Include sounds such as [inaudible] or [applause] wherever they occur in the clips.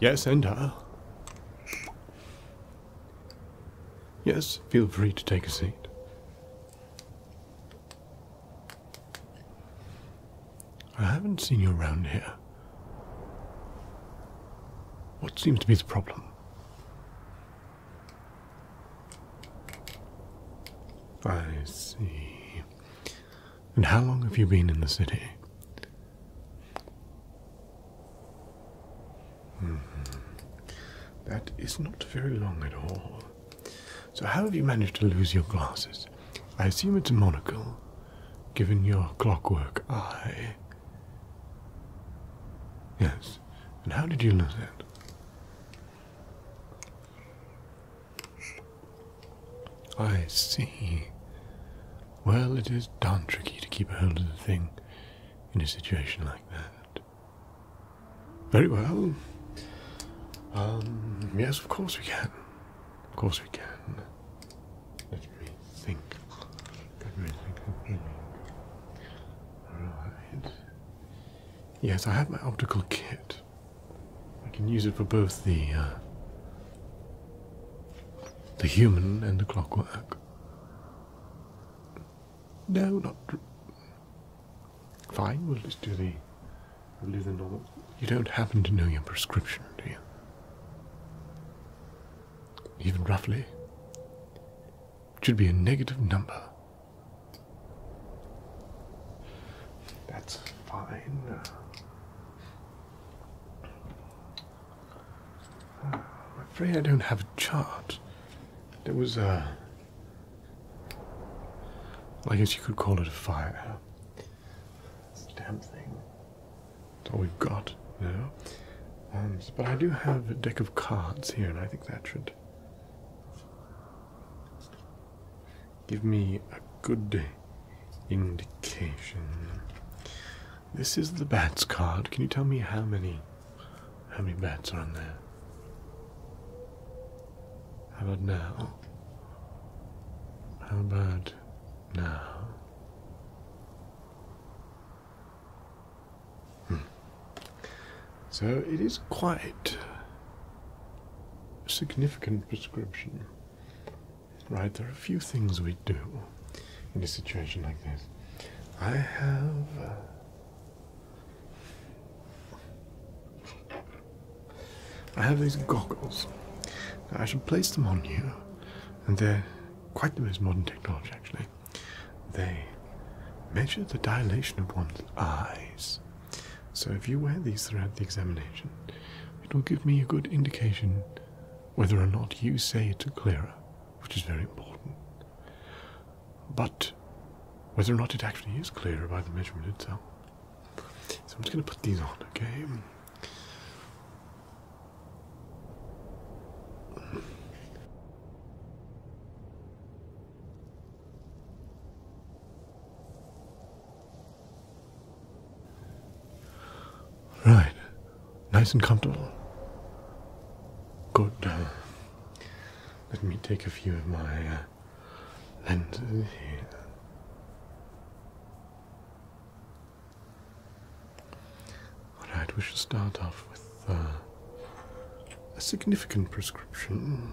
Yes, enter. Yes, feel free to take a seat. I haven't seen you around here. What seems to be the problem? I see. And how long have you been in the city? Mm-hmm. That is not very long at all. So, how have you managed to lose your glasses? I assume it's a monocle, given your clockwork eye. Yes, and how did you lose it? I see. Well, it is darn tricky to keep a hold of the thing in a situation like that. Very well. Um, yes, of course we can. Of course we can. Let me think. Let me think. Alright. Yes, I have my optical kit. I can use it for both the uh, the human and the clockwork. No, not. Fine, we'll just do the. We'll the normal. You don't happen to know your prescription, do you? Even roughly. It should be a negative number. That's fine. I'm afraid I don't have a chart. There was a. I guess you could call it a fire. It's a damn thing. That's all we've got, now. Um, but I do have a deck of cards here, and I think that should give me a good indication. This is the bats card. Can you tell me how many how many bats are in there? How about now? How about now? Hmm. So it is quite a significant prescription right? There are a few things we do in a situation like this. I have. Uh, I have these goggles. I should place them on you, and they're quite the most modern technology, actually. They measure the dilation of one's eyes. So if you wear these throughout the examination, it will give me a good indication whether or not you say it to Clara, which is very important, but whether or not it actually is clear by the measurement itself. So I'm just going to put these on, okay? Right. Nice and comfortable. Good. Uh, let me take a few of my uh, lenses here. Alright, we should start off with uh, a significant prescription.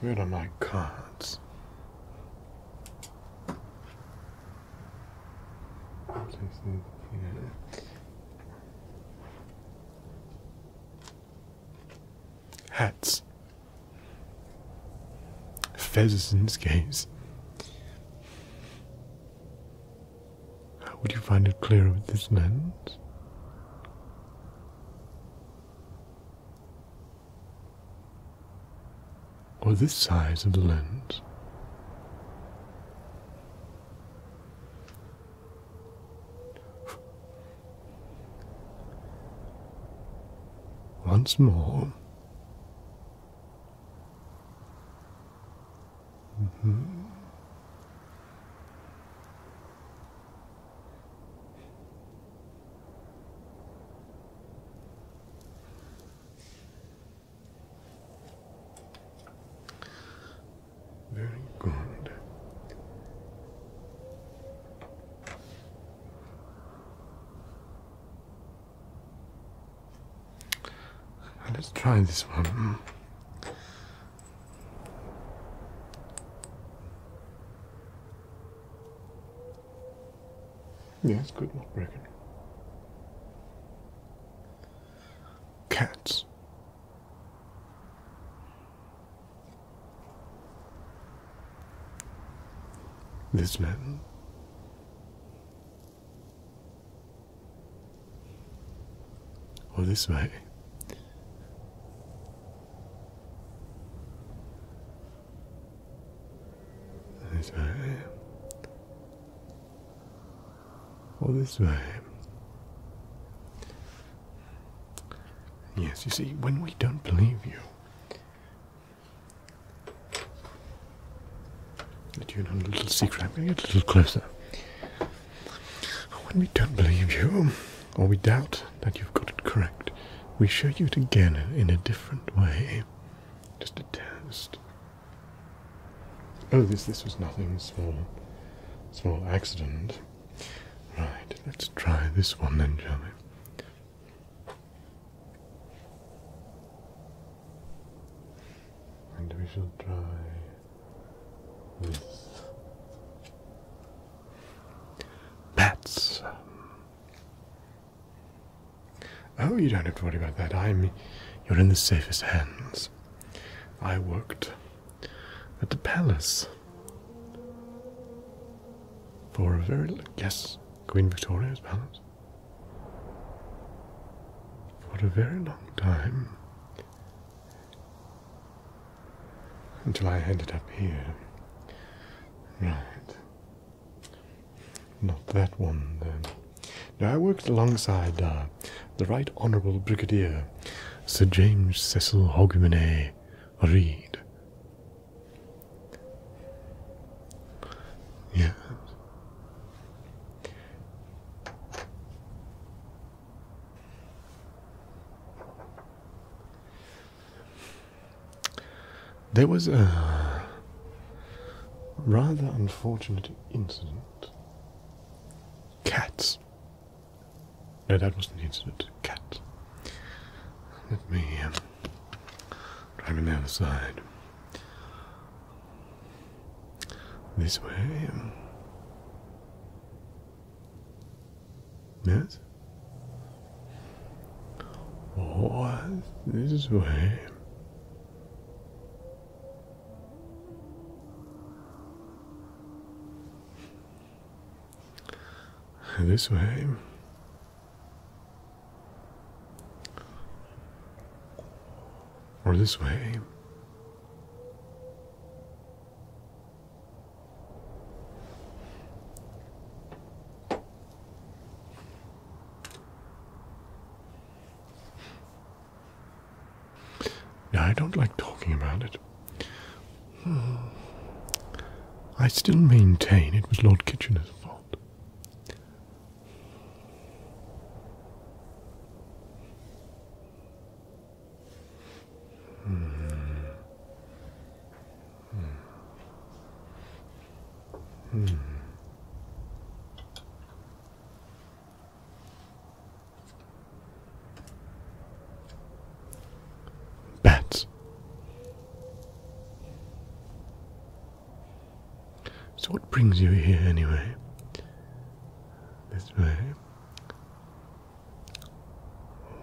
Where are my cards? Hats. feathers, in this case. How would you find it clearer with this lens? or this size of the lens. Once more. Mm-hmm. Very good. Uh, let's try this one. Hmm. Yeah, it's good, not broken. Cats. This man. Or this way this way, or this way. Yes, you see, when we don't believe you, let you know a little secret. I'm going a little closer. When we don't believe you, or we doubt that you've got it correct, we show you it again in a different way. Just a test. Oh, this this was nothing small, small accident. Right, let's try this one then, shall And we shall try with Bats. Oh, you don't have to worry about that. I'm. You're in the safest hands. I worked at the palace for a very. Yes, Queen Victoria's palace. For a very long time. Until I ended up here. Right. Not that one, then. Now, I worked alongside uh, the Right Honourable Brigadier Sir James Cecil Hogmanay Reed. Yes. There was a rather unfortunate incident. Cats. No, that wasn't the incident. Cat. Let me um, drive on the other side. This way. Um, Yes? What? This way? This way. Or this way. I don't like talking about it. Hmm. I still maintain it was Lord Kitchener's fault. Hmm. Hmm. Hmm. Bats. So, what brings you here anyway? This way.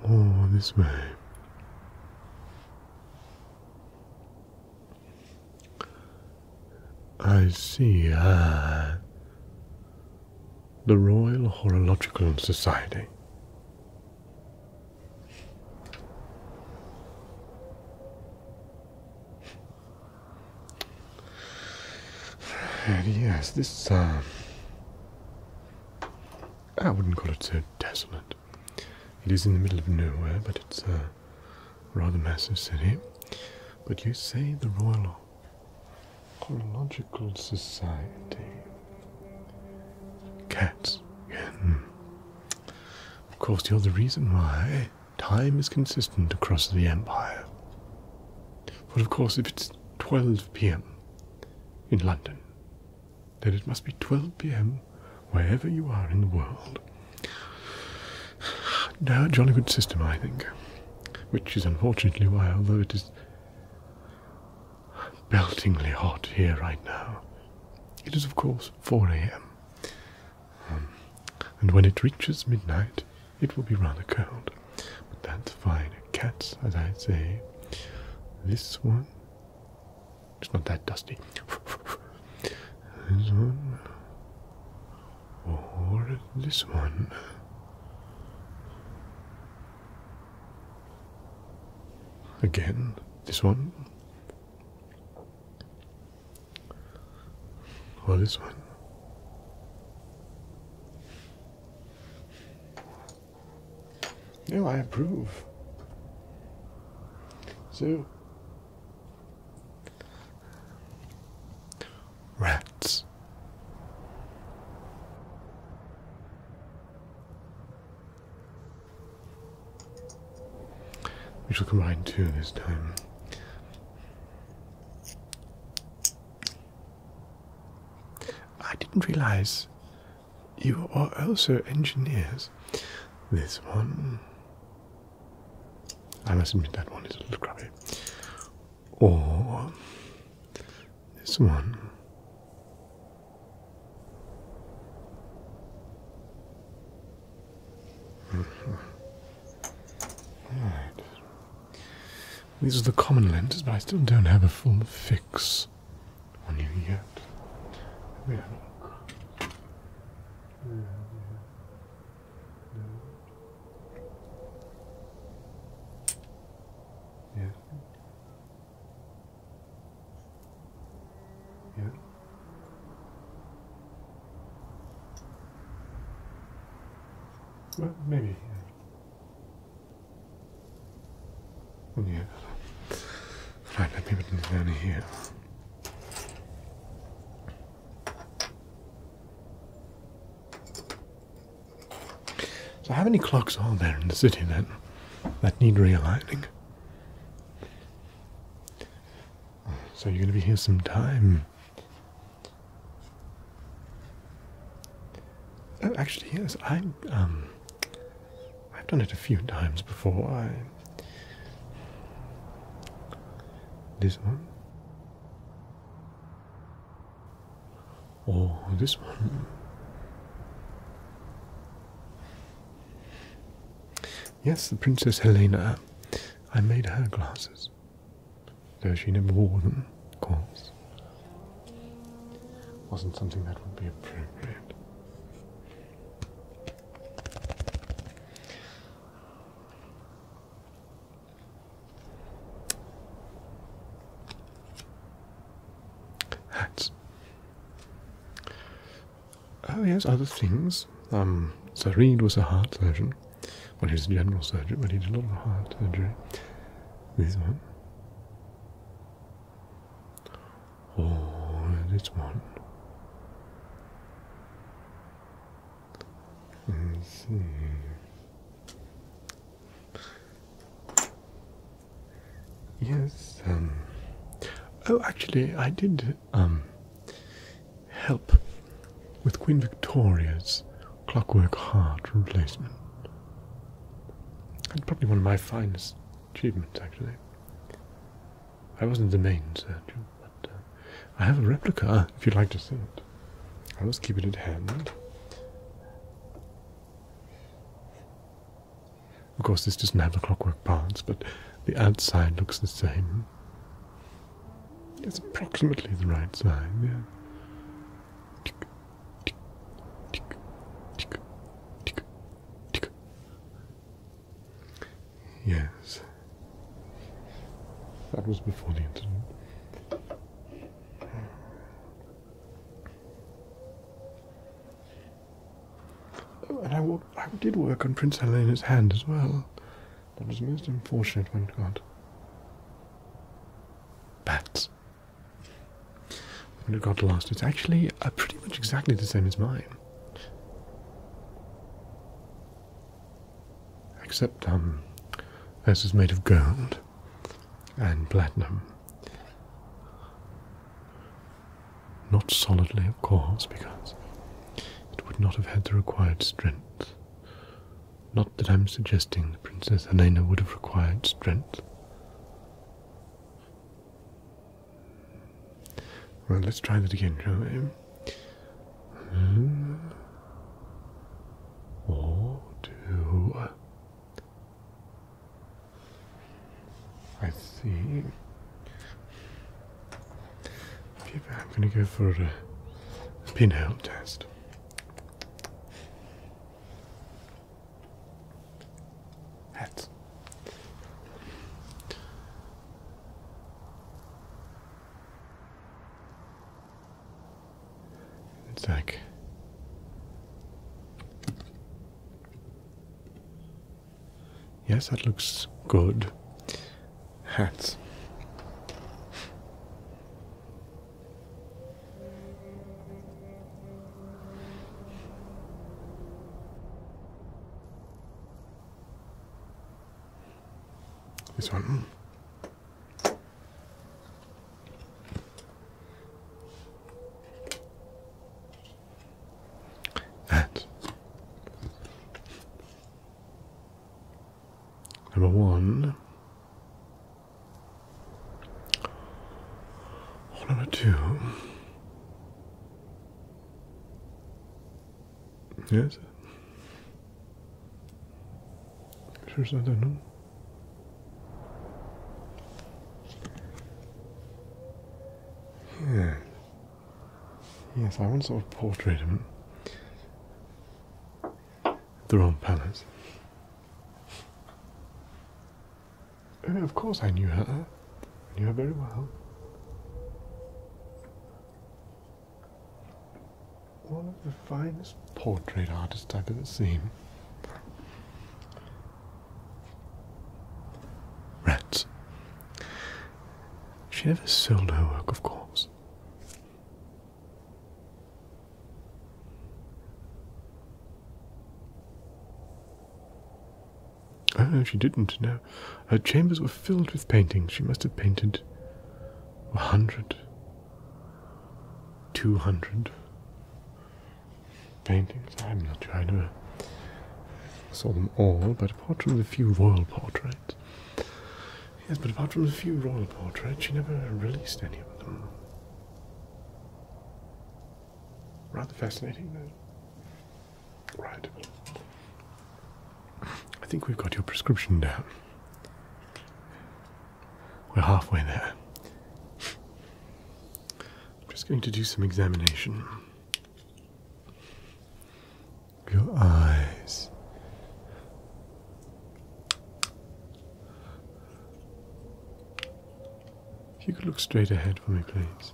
Or this way. I see. Uh, the Royal Horological Society. yes, this, um, I wouldn't call it so desolate. It is in the middle of nowhere, but it's a uh, rather massive city. But you say the Royal Chronological Society. Cats again. Hmm. Of course, you're the reason why time is consistent across the empire. But of course, if it's 12 pm in London, that it must be 12 p.m. wherever you are in the world. No, a jolly good system, I think. Which is unfortunately why, although it is beltingly hot here right now, it is of course 4 a.m. Um, and when it reaches midnight, it will be rather cold. But that's fine. Cats, as I say, this one it's not that dusty. this one. Or this one. Again, this one. Or this one. No, I approve. So, rats. We shall combine two this time. I didn't realize you are also engineers. This one. I must admit that one is a little crappy. Or this one. Mm These are the common lenses, but I still don't have a full fix when you get yeah. Yeah, yeah. Yeah. Well, maybe. Yeah. Right, let me put it down here. So how many clocks are there in the city then that need realigning? So you're gonna be here some time. Oh, actually, yes, i um, I've done it a few times before. This one. Or oh, this one. Yes, the Princess Helena. I made her glasses. Though she never wore them, of course. Wasn't something that would be appropriate. Hats. Oh yes, other things. Um, so Reed was a heart surgeon. Well, he was a general surgeon, but he did a lot of heart surgery. This one. Oh, this one. Let's see. Yes, um oh actually I did um help with Queen Victoria's clockwork heart replacement. That's probably one of my finest achievements actually. I wasn't the main surgeon, but uh, I have a replica [laughs] if you'd like to see it. I always keep it at hand. Of course, this doesn't have the clockwork parts, but the outside looks the same. It's approximately the right size. yeah. Yes. That was before the incident. Oh, and I, did work on Prince Helena's hand as well. That was most unfortunate when it Bats when it got lost. It's actually uh, pretty much exactly the same as mine. Except um, this is made of gold and platinum. Not solidly, of course, because it would not have had the required strength. Not that I'm suggesting the Princess Helena would have required strength. Well, let's try that again, shall we? Mm. two. I see. I'm going to go for a, a pinhole test. Hats. It's Yes, that looks good. Hats. This one. Mm. That. Number one. number two. Yes. Sure, I don't know. Yeah. Yes, I want to sort of portrait of him. The wrong palace of course I knew her. I knew her very well. One of the finest portrait artists I've ever seen. Rats. She never sold her work, of course. Oh, no, she didn't, no. Her chambers were filled with paintings. She must have painted a Two hundred. paintings. I'm not sure I never saw them all, but apart from the few royal portraits. Yes, but apart from the few royal portraits, she never released any of them. Rather fascinating, though. Right. I think we've got your prescription down. We're halfway there. I'm just going to do some examination. Your eyes. you could look straight ahead for me, please.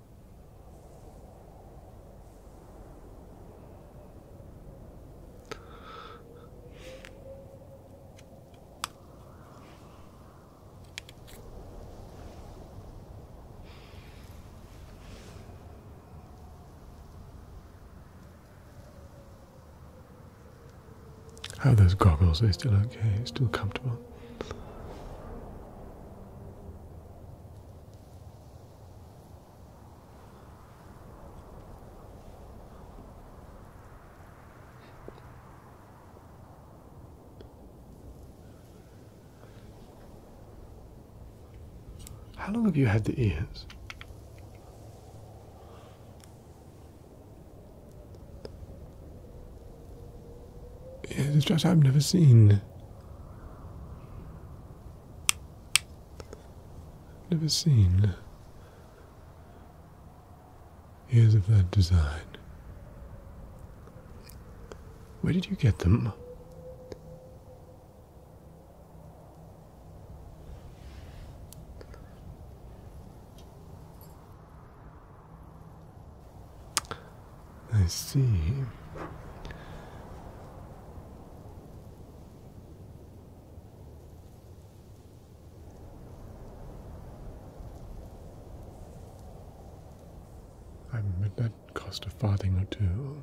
How oh, those goggles? Are they still okay? Still comfortable? How long have you had the ears? It's just I've never seen. Never seen. Here's of that design. Where did you get them? I see. I bet that cost a farthing or two.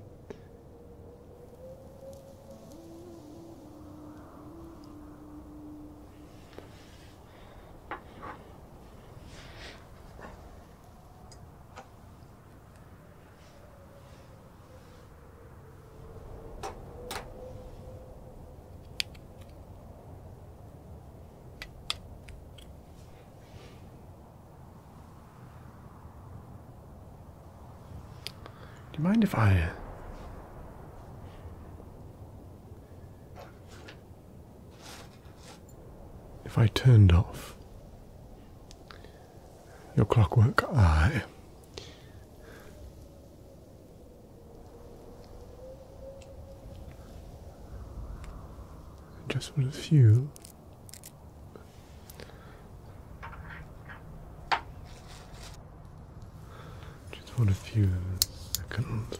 Do you mind if I uh, if I turned off your clockwork eye, just with a few. Just for a few seconds,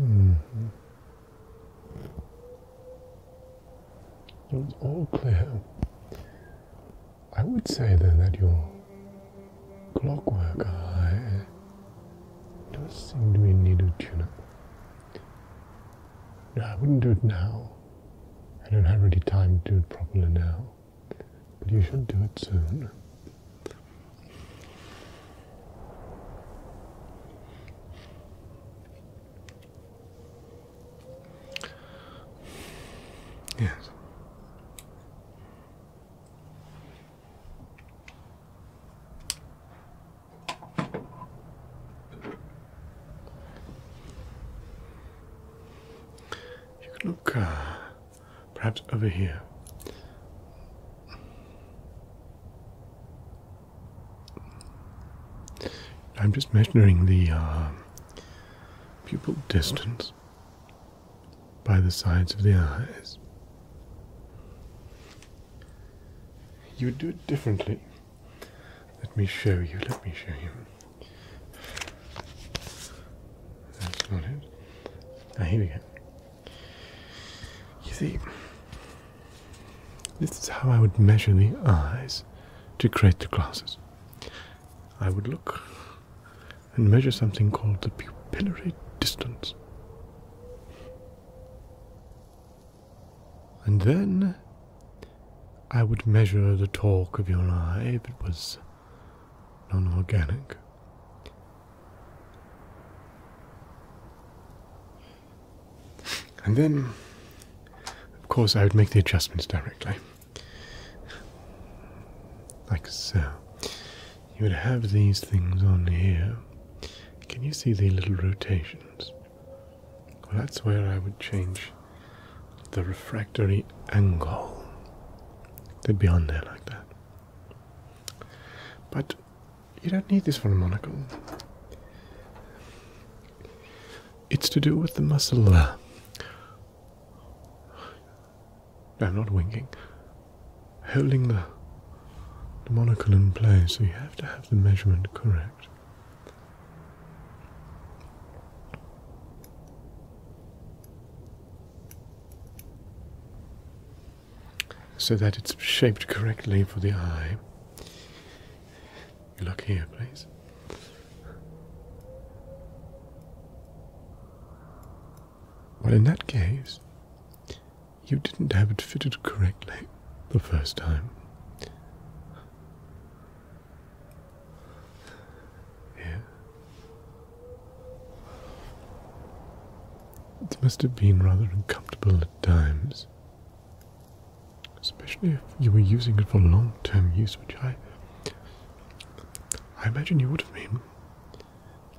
Mm -hmm. It's all clear. I would say then that your clockwork eye does seem to be in need of no, I wouldn't do it now. I don't have any time to do it properly now. But you should do it soon. Yes. You can look uh, perhaps over here. I'm just measuring the uh, pupil distance by the sides of the eyes you would do it differently. Let me show you, let me show you. That's not it. Ah, here we go. You see, this is how I would measure the eyes to create the glasses. I would look and measure something called the pupillary distance. And then I would measure the torque of your eye if it was non organic. And then, of course, I would make the adjustments directly. Like so. You would have these things on here. Can you see the little rotations? Well, that's where I would change the refractory angle. They'd be on there like that. But you don't need this for a monocle. It's to do with the muscle. I'm not winking holding the, monocle in place, you have to have the measurement correct. So that it's shaped correctly for the eye. look here, please. Well, in that case, you didn't have it fitted correctly the first time. It must have been rather uncomfortable at times. Especially if you were using it for long term use, which I I imagine you would have been,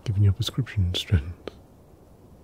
given your prescription strength.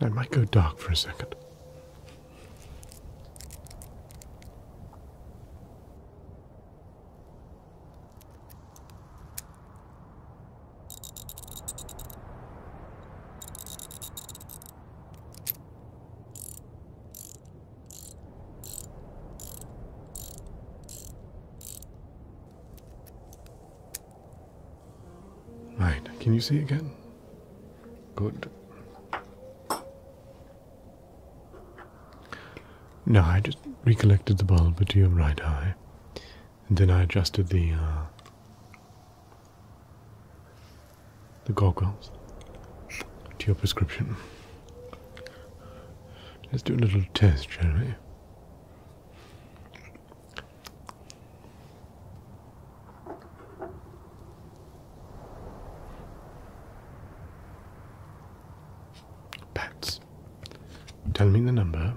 I might go dark for a second. Right, can you see again? Good. No, I just recollected the bulb to your right eye. And then I adjusted the uh, the goggles to your prescription. Let's do a little test, shall we? Pats. Tell me the number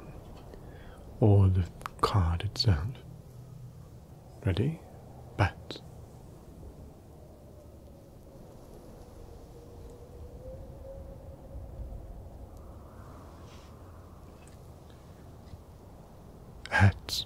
or the card itself. Ready? Bats. Hats.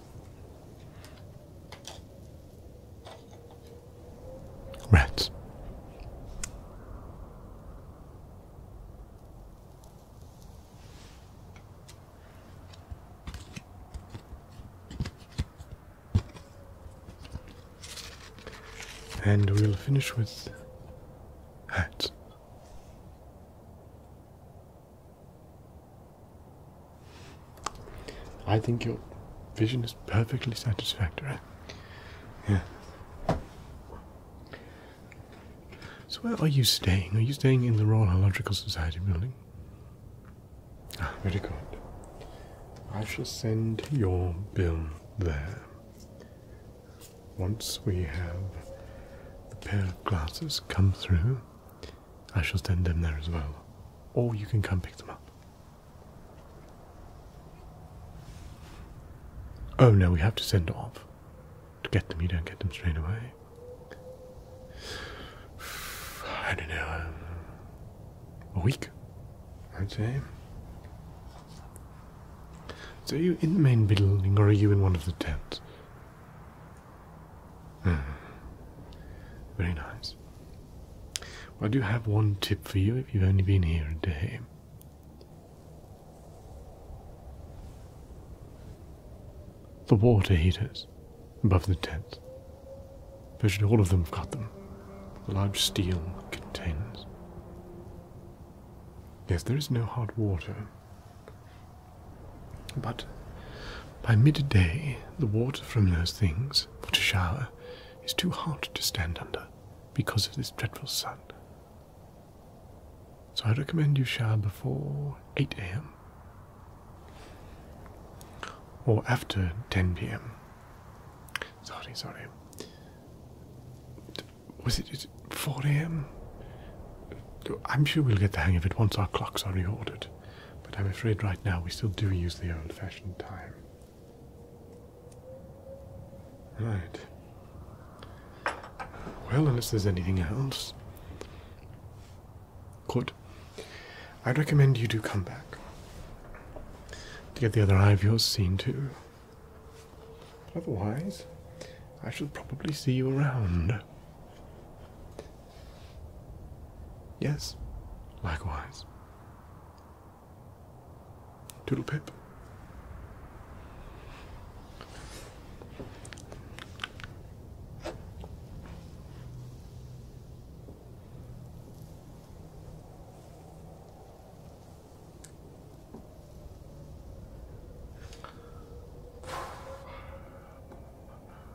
Rats. And we'll finish with hats. I think your vision is perfectly satisfactory. Yeah. So, where are you staying? Are you staying in the Royal Horological Society building? Ah, very good. I shall send your bill there. Once we have the pair of glasses come through, I shall send them there as well. Or you can come pick them up. Oh no, we have to send off. To get them, you don't get them straight away. [sighs] I don't know. Um, a week, I'd say. So, are you in the main building or are you in one of the tents? Ah, very nice. I do have one tip for you if you've only been here a day. The water heaters above the tent. Virtually all of them have got them. The large steel contains. Yes, there is no hot water but by midday, the water from those things, for to shower, is too hot to stand under because of this dreadful sun. So I recommend you shower before 8 am or after 10 pm. Sorry, sorry. Was it 4 am? I'm sure we'll get the hang of it once our clocks are reordered, but I'm afraid right now we still do use the old fashioned time. Right. Well, unless there's anything else. Court, I'd recommend you do come back to get the other eye of yours seen too. otherwise, I shall probably see you around. Yes, likewise. Doodle Pip.